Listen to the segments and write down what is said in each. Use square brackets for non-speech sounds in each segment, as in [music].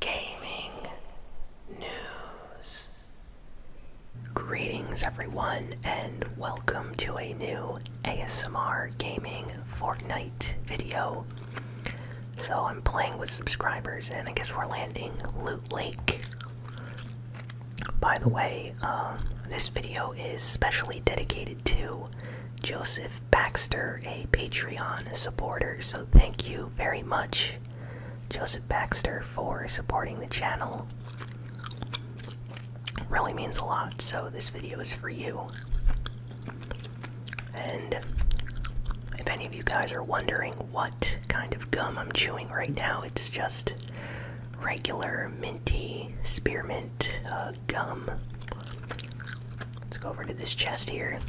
gaming news. Greetings, everyone, and welcome to a new ASMR Gaming Fortnite video. So, I'm playing with subscribers, and I guess we're landing Loot Lake. By the way, um, this video is specially dedicated to Joseph Baxter, a Patreon supporter, so thank you very much Joseph Baxter for supporting the channel. really means a lot, so this video is for you. And if any of you guys are wondering what kind of gum I'm chewing right now, it's just regular minty spearmint uh, gum. Let's go over to this chest here.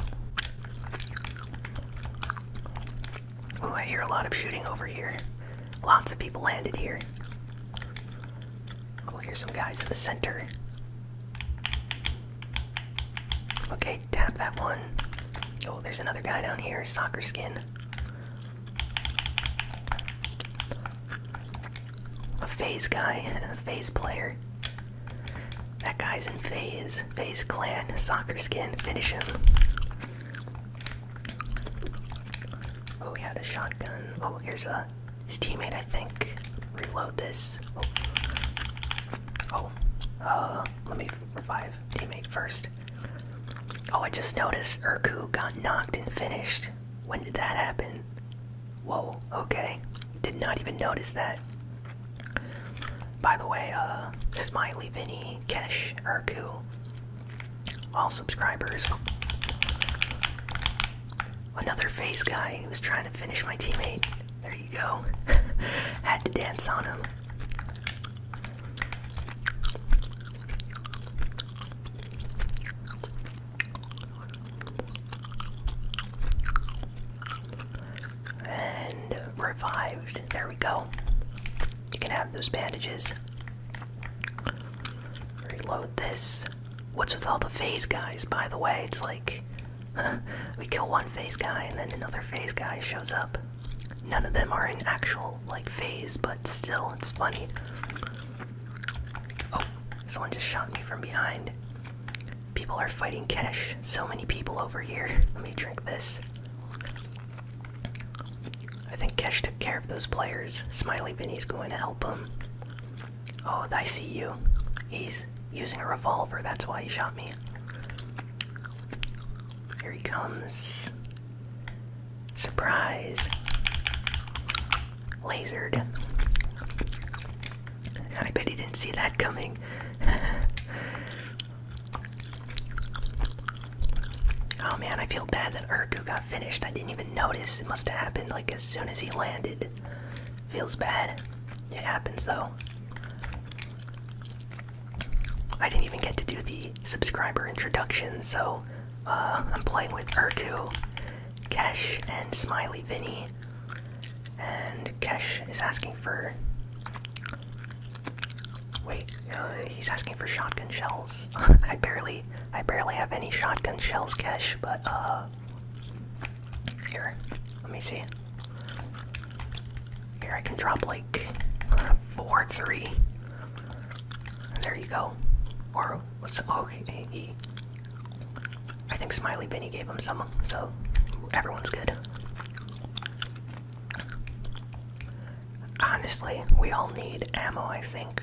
Oh, I hear a lot of shooting over here. Lots of people landed here. Oh, here's some guys in the center. Okay, tap that one. Oh, there's another guy down here, soccer skin. A phase guy, a phase player. That guy's in phase. Phase clan, soccer skin, finish him. Oh, he had a shotgun. Oh, here's a his teammate, I think. Reload this. Oh, oh, Uh, let me revive teammate first. Oh, I just noticed Urku got knocked and finished. When did that happen? Whoa, okay. Did not even notice that. By the way, uh, Smiley Vinny, Kesh, Erku all subscribers. Another face guy who was trying to finish my teammate. There you go. [laughs] Had to dance on him. And revived. There we go. You can have those bandages. Reload this. What's with all the phase guys, by the way? It's like [laughs] we kill one phase guy and then another phase guy shows up. None of them are in actual, like, phase, but still, it's funny. Oh, someone just shot me from behind. People are fighting Kesh. So many people over here. Let me drink this. I think Kesh took care of those players. Smiley Binny's going to help him. Oh, I see you. He's using a revolver. That's why he shot me. Here he comes. Surprise. Lasered. I bet he didn't see that coming. [laughs] Oh man, I feel bad that Urku got finished. I didn't even notice. It must have happened like as soon as he landed. Feels bad. It happens though. I didn't even get to do the subscriber introduction, so uh, I'm playing with Urku, Keshe, and Smiley Vinny. And Keshe is asking for Wait, uh, he's asking for shotgun shells. [laughs] I barely, I barely have any shotgun shells, Kesh. But uh, here, let me see. Here I can drop like [laughs] four, three. there you go. Or what's oh, okay? He, I think Smiley Benny gave him some, so everyone's good. Honestly, we all need ammo, I think.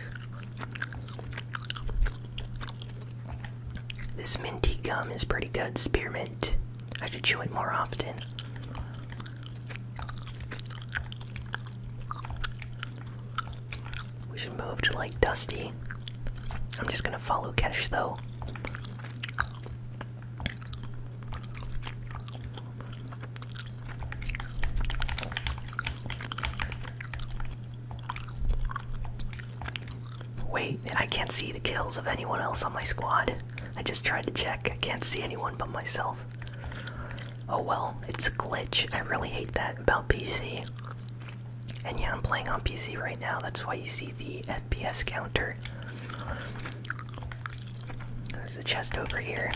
This minty gum is pretty good. Spearmint. I should chew it more often. We should move to like Dusty. I'm just gonna follow Kesh though. Wait, I can't see the kills of anyone else on my squad. I just tried to check. I can't see anyone but myself. Oh well, it's a glitch. I really hate that about PC. And yeah, I'm playing on PC right now. That's why you see the P.S. counter. There's a chest over here.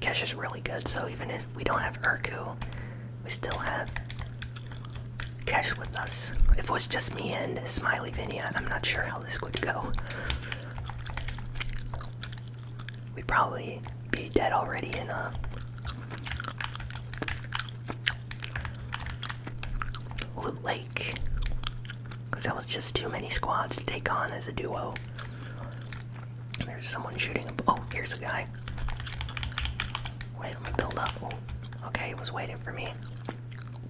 Cash is really good, so even if we don't have Urku, we still have Cash with us. If it was just me and Smiley Vinia, I'm not sure how this would go. We'd probably be dead already in a uh, Loot Lake. Because that was just too many squads to take on as a duo. there's someone shooting. Oh, here's a guy. Wait, let me build up. Oh, okay, he was waiting for me.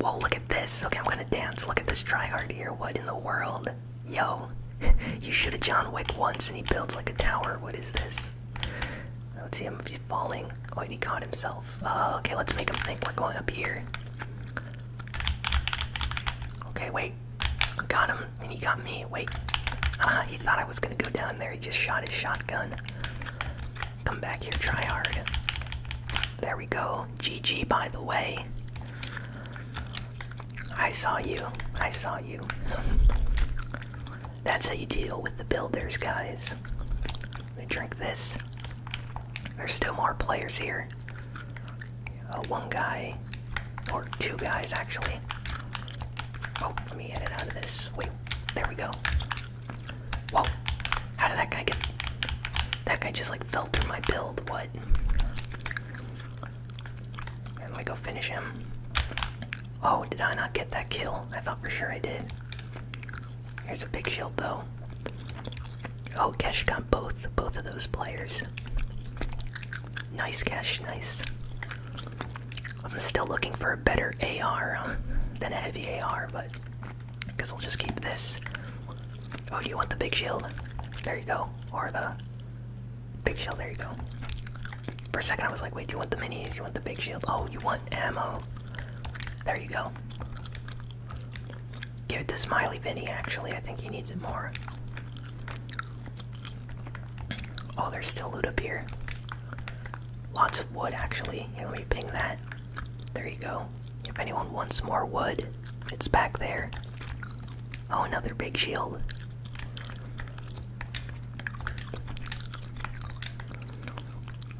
Whoa, look at this. Okay, I'm gonna dance. Look at this tryhard here. What in the world? Yo, [laughs] you shoot a John Wick once and he builds like a tower. What is this? I Let's see him falling. Oh, he caught himself. Uh, okay, let's make him think we're going up here. Okay, wait. Got him, and he got me. Wait. Ah, he thought I was gonna go down there. He just shot his shotgun. Come back here, try hard. There we go. GG, by the way. I saw you. I saw you. [laughs] That's how you deal with the builders, guys. Let me drink this. There's still more players here. Uh, one guy, or two guys actually. Oh, let me edit out of this. Wait, there we go. Whoa, how did that guy get. That guy just like fell through my build. What? And let me go finish him. Oh, did I not get that kill? I thought for sure I did. Here's a big shield though. Oh, Cash got both both of those players. Nice Cash, nice. I'm still looking for a better AR uh, than a heavy AR, but I guess I'll just keep this. Oh, do you want the big shield? There you go. Or the big shield, there you go. For a second, I was like, wait, do you want the minis? You want the big shield? Oh, you want ammo. There you go. Give it to Smiley Vinny, actually. I think he needs it more. Oh, there's still loot up here. Lots of wood, actually. let me ping that. There you go. If anyone wants more wood, it's back there. Oh, another big shield.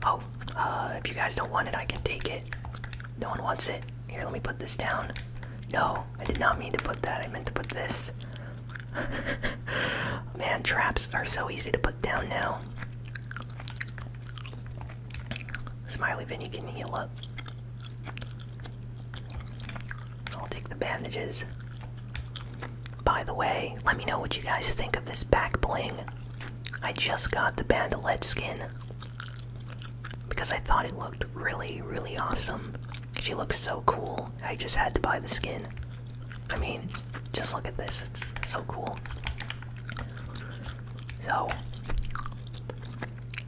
Oh, uh, if you guys don't want it, I can take it. No one wants it. Here, let me put this down. No, I did not mean to put that. I meant to put this. [laughs] Man, traps are so easy to put down now. Smiley Vinnie can heal up. I'll take the bandages. By the way, let me know what you guys think of this back bling. I just got the bandolette skin because I thought it looked really, really awesome. She looks so cool. I just had to buy the skin. I mean, just look at this. It's so cool. So,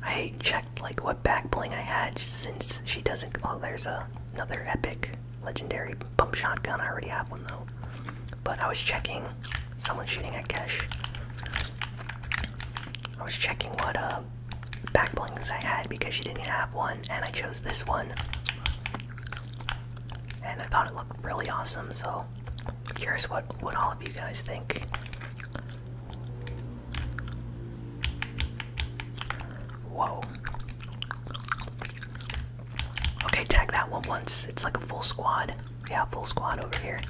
I checked like what back bling I had since she doesn't. Oh, there's another epic legendary pump shotgun. I already have one though. But I was checking someone shooting at Kesh. I was checking what uh back blinks I had because she didn't have one and I chose this one. And I thought it looked really awesome, so curious what what all of you guys think. Whoa. Okay, tag that one once. It's like a full squad. Yeah, full squad over here.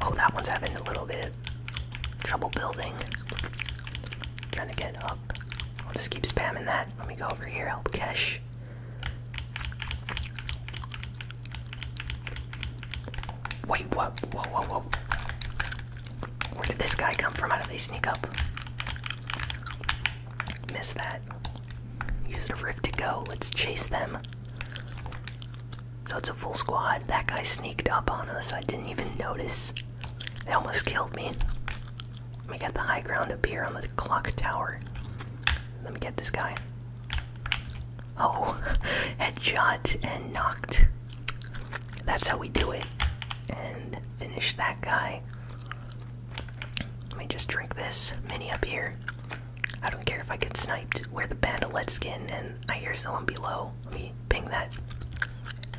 Oh, that one's having a little bit of trouble building. Trying to get up. I'll just keep spamming that. Let me go over here, help Kesh. Wait, what? Whoa, whoa, whoa. Where did this guy come from? How did they sneak up? Miss that. Use the rift to go. Let's chase them. So it's a full squad. That guy sneaked up on us. I didn't even notice. They almost killed me. Let me get the high ground up here on the clock tower. Let me get this guy. Oh, [laughs] headshot and knocked. That's how we do it. And finish that guy. Let me just drink this mini up here. I don't care if I get sniped. Wear the bandolette skin, and I hear someone below. Let me ping that.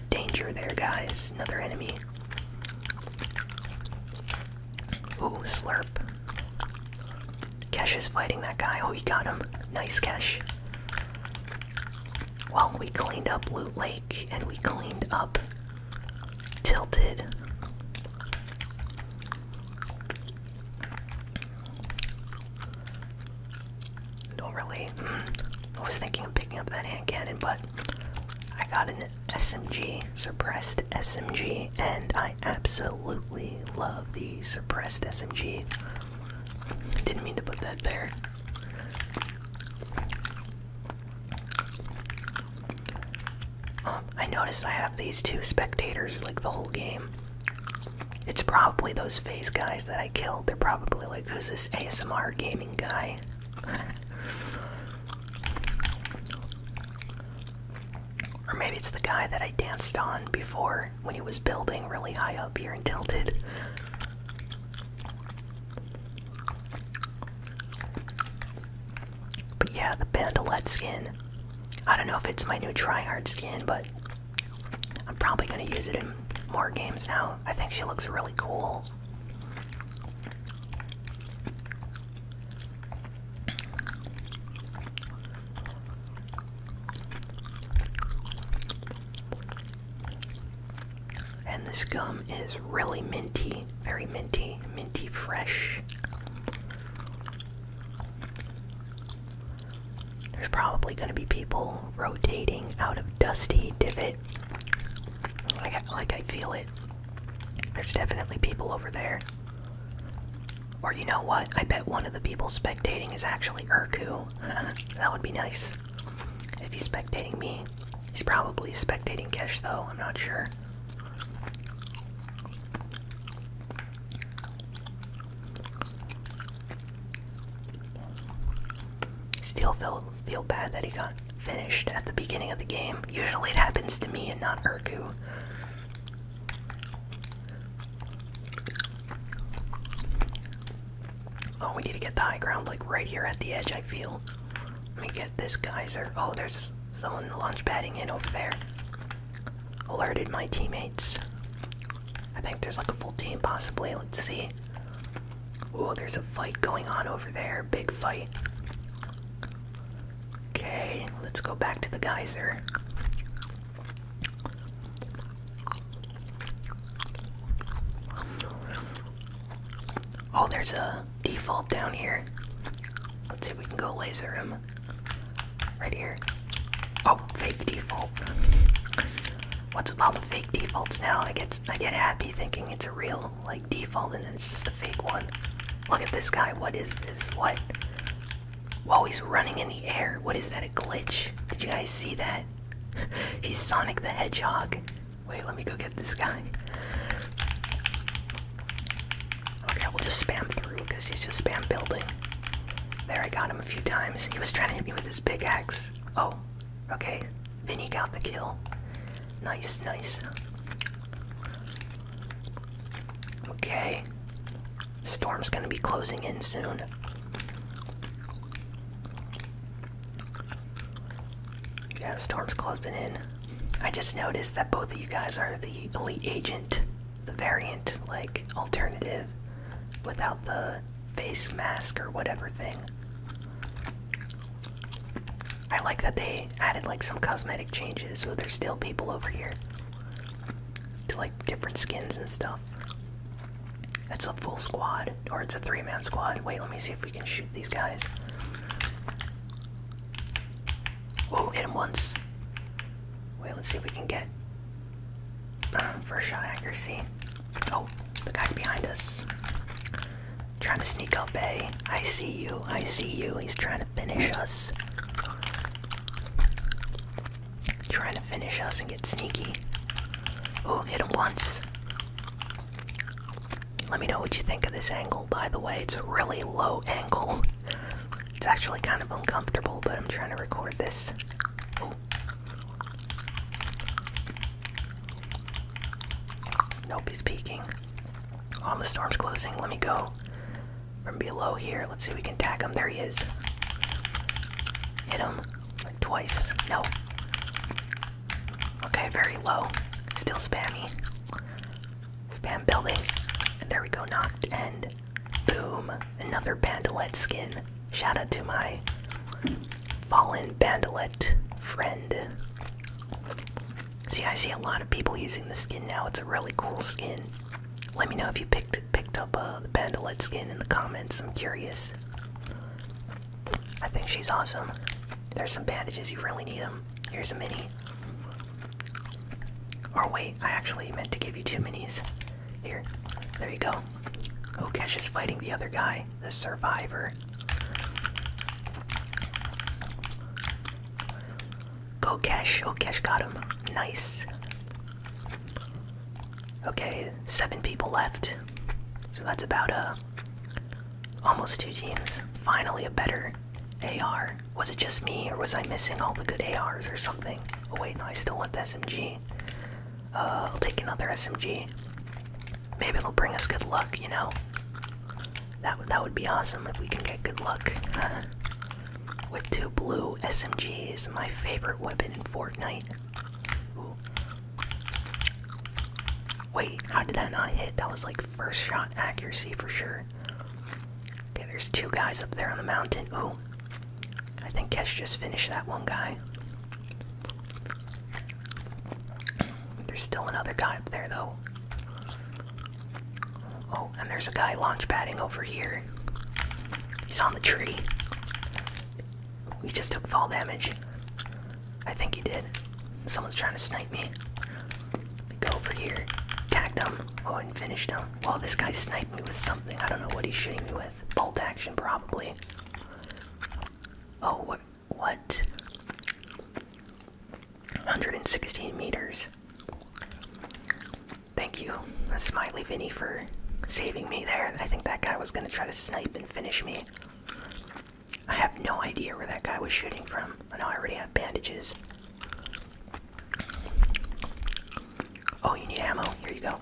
Danger there, guys. Another enemy. Ooh, slurp. Kesh is fighting that guy. Oh, he got him. Nice, Kesh. Well, we cleaned up Loot Lake, and we cleaned up tilted. Don't really. I was thinking of picking up that hand cannon, but I got an SMG, suppressed SMG, and I absolutely love the suppressed SMG. Didn't mean to put that there. Um, I noticed I have these two spectators like the whole game. It's probably those face guys that I killed. They're probably like, who's this ASMR gaming guy? [laughs] or maybe it's the guy that I danced on before when he was building really high up here and tilted. But yeah, the Bandolette skin. I don't know if it's my new tryhard skin, but I'm probably gonna use it in more games now. I think she looks really cool. And this gum is really minty, very minty, minty fresh. There's probably going to be people rotating out of Dusty Divot. Like I, feel it. There's definitely people over there. Or you know what? I bet one of the people spectating is actually Urku. [laughs] that would be nice. If he's spectating me, He's probably spectating Kesh, though. I'm not sure. Still feel, feel bad that he got finished at the beginning of the game. Usually it happens to me and not Urku. Oh, we need to get the high ground, like, right here at the edge, I feel. Let me get this geyser. Oh, there's someone launch padding in over there. Alerted my teammates. I think there's like a full team, possibly. Let's see. Oh, there's a fight going on over there. Big fight. Okay, let's go back to the geyser. Oh, there's a default down here. Let's see if we can go laser him. Right here. Oh, fake default. What's with all the fake defaults now? I get I get happy thinking it's a real like default and then it's just a fake one. Look at this guy. What is this? What? Whoa, he's running in the air. What is that? A glitch? Did you guys see that? [laughs] he's Sonic the Hedgehog. Wait, let me go get this guy. Okay, we'll just spam through because he's just spam building. There, I got him a few times. He was trying to hit me with his pickaxe. Oh, okay. Vinny got the kill. Nice, nice. Okay. Storm's gonna be closing in soon. Yeah, storm's closing in. I just noticed that both of you guys are the elite agent, the variant, like alternative, without the face mask or whatever thing. I like that they added like some cosmetic changes, but there's still people over here to like different skins and stuff. It's a full squad, or it's a three man squad. Wait, let me see if we can shoot these guys. Oh, hit him once. Wait, let's see if we can get um, first shot accuracy. Oh, the guy's behind us. Trying to sneak up, eh? I see you, I see you. He's trying to finish us. Trying to finish us and get sneaky. Oh, hit him once. Let me know what you think of this angle, by the way. It's a really low angle. It's actually kind of uncomfortable, but I'm trying to record this. Ooh. Nope, he's peeking. On oh, the storm's closing. Let me go from below here. Let's see if we can tag him. There he is. Hit him twice. No. Okay, very low. Still spammy. Spam building. And there we go, knocked. And boom, another Bandolette skin. Shout out to my fallen Bandolette friend. See, I see a lot of people using the skin now. It's a really cool skin. Let me know if you picked picked up uh, the Bandolette skin in the comments. I'm curious. I think she's awesome. There's some bandages. You really need them. Here's a mini. Or wait, I actually meant to give you two minis. Here, there you go. Okesh is fighting the other guy, the survivor. Go Kesh, Okesh oh, got him. Nice. Okay, seven people left. So that's about a uh, Almost two teams. Finally, a better AR. Was it just me, or was I missing all the good ARs or something? Oh, wait, no, I still want the SMG. Uh, I'll take another SMG. Maybe it'll bring us good luck, you know? That, that would be awesome if we can get good luck. [laughs] With two blue SMGs, my favorite weapon in Fortnite. Wait, how did that not hit? That was like first shot accuracy for sure. Okay, there's two guys up there on the mountain. Oh, I think Kesh just finished that one guy. There's still another guy up there though. Oh, and there's a guy launch padding over here. He's on the tree. We just took fall damage. I think he did. Someone's trying to snipe me. Go over here, tagged him. Oh, and finish him. Oh, this guy sniped me with something. I don't know what he's shooting me with. Bolt action, probably. Oh, What? 116 meters. Thank you, Smiley Vinny, for saving me there. I think that guy was gonna try to snipe and finish me. I have no idea where that guy was shooting from. I know I already have bandages. Oh, you need ammo? Here you go.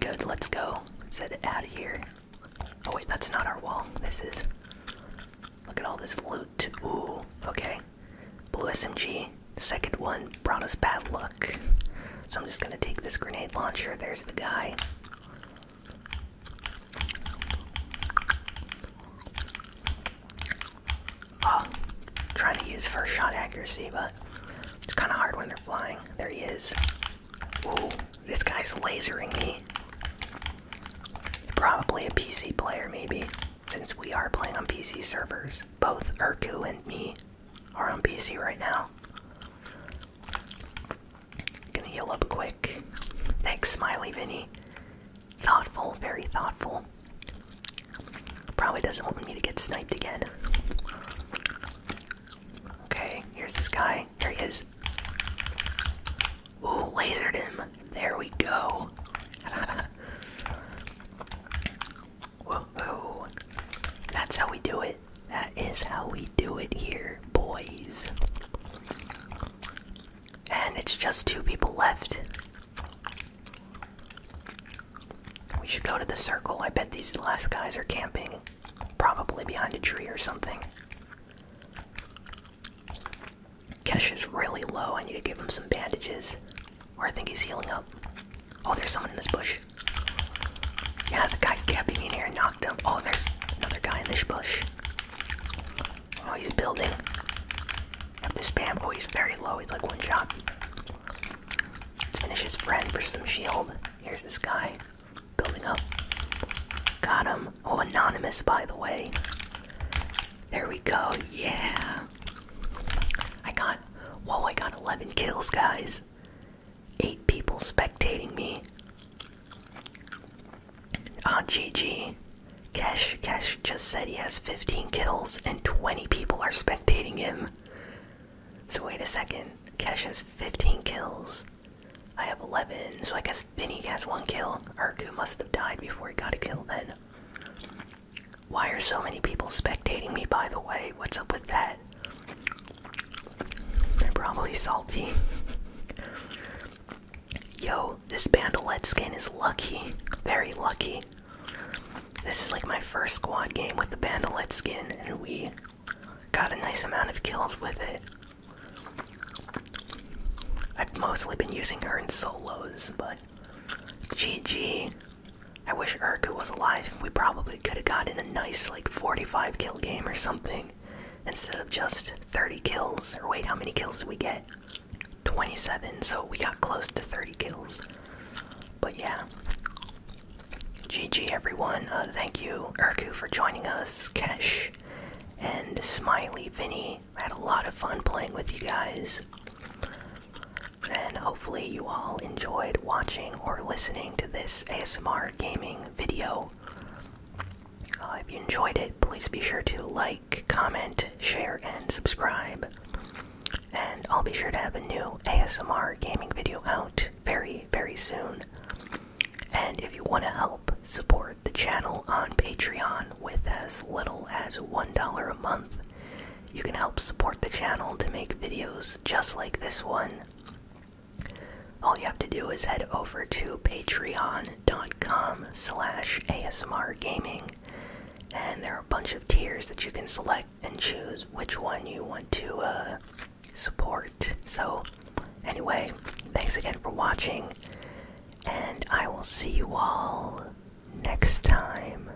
Good, let's go. Let's head out of here. Oh wait, that's not our wall. This is. Look at all this loot. Ooh, okay. Blue SMG. Second one brought us bad luck. So I'm just gonna take this grenade launcher. There's the guy. Oh, trying to use first shot accuracy, but it's kind of hard when they're flying. There he is. Ooh, this guy's lasering me. Probably a PC player, maybe, since we are playing on PC servers. Both Urku and me are on PC right now. Gonna heal up quick. Thanks, Smiley Vinny. Thoughtful, very thoughtful. Probably doesn't want me to get sniped again. Okay, here's this guy. There he is. Ooh, lasered him. There we go. [laughs] Whoa, That's how we do it. That is how we do it here, boys. And it's just two people left. We should go to the circle. I bet these last guys are camping. Probably behind a tree or something. Kesh is really low. I need to give him some bandages. Or I think he's healing up. Oh, there's someone in this bush. Yeah, the guy's camping in here and knocked him. Oh, there's another guy in this bush. Oh, he's building. Have to spam. Oh, he's very low. He's like one shot. Let's finish his friend for some shield. Here's this guy. Building up. Got him. Oh, anonymous, by the way. There we go. Yeah. I got. Whoa, I got 11 kills, guys eight people spectating me. Ah, GG. Kesh, Kesh just said he has 15 kills and 20 people are spectating him. So wait a second, Kesh has 15 kills. I have 11, so I guess Vinny has one kill. Arku must have died before he got a kill then. Why are so many people spectating me, by the way? What's up with that? They're probably salty. Yo, this Bandolet skin is lucky. Very lucky. This is like my first squad game with the Bandolet skin, and we got a nice amount of kills with it. I've mostly been using her in solos, but GG. I wish Urku was alive. We probably could have gotten a nice like 45 kill game or something instead of just 30 kills. Or wait, how many kills did we get? 27. So we got close to 30 kills. But yeah. GG everyone. Uh, thank you, Urku, for joining us. Kesh and Smiley Vinny. had a lot of fun playing with you guys. And hopefully, you all enjoyed watching or listening to this ASMR gaming video. Uh, if you enjoyed it, please be sure to like, comment, share, and subscribe. And I'll be sure to have a new ASMR gaming video out very, very soon. And if you want to help support the channel on Patreon with as little as $1 a month, you can help support the channel to make videos just like this one all you have to do is head over to patreon.com slash asmrgaming and there are a bunch of tiers that you can select and choose which one you want to uh, support. So anyway, thanks again for watching and I will see you all next time.